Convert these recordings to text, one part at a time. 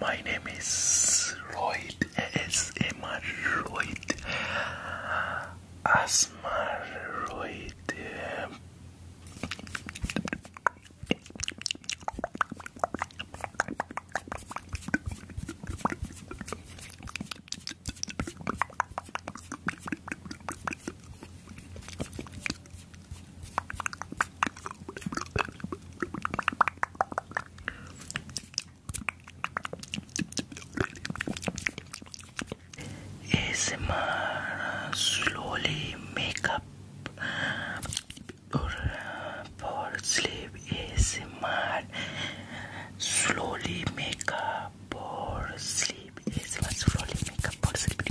My name is Lloyd ASMR Lloyd Asmar Lloyd um, ASMR slowly makeup Poor sleep is smart. Slowly make up. Poor sleep is smart. Slowly make up. Poor sleep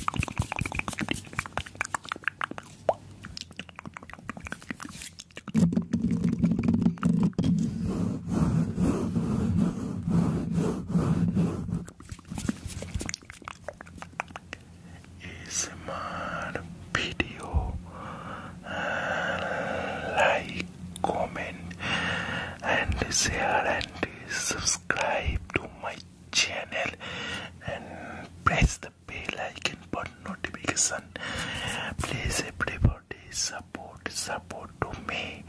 my video like, comment and share and subscribe to my channel and press the bell icon button notification. Please everybody support support to me.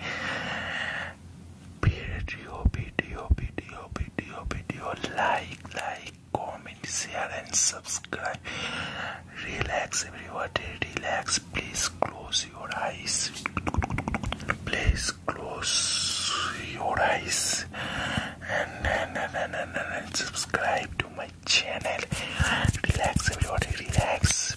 Video video video video video like like comment, share, and subscribe. Relax, everybody. Relax. Please close your eyes. Please close your eyes and, and, and, and, and subscribe to my channel. Relax, everybody. Relax.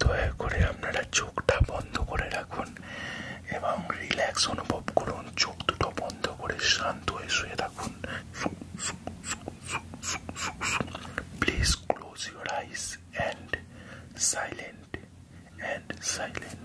দয়া করে আপনারা চোখটা বন্ধ করে রাখুন এবং relax অনুভব করুন চোখ দুটো বন্ধ করে শান্ত হয়ে শুয়ে থাকুন please close your eyes and silent and silent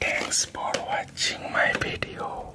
Thanks for watching my video.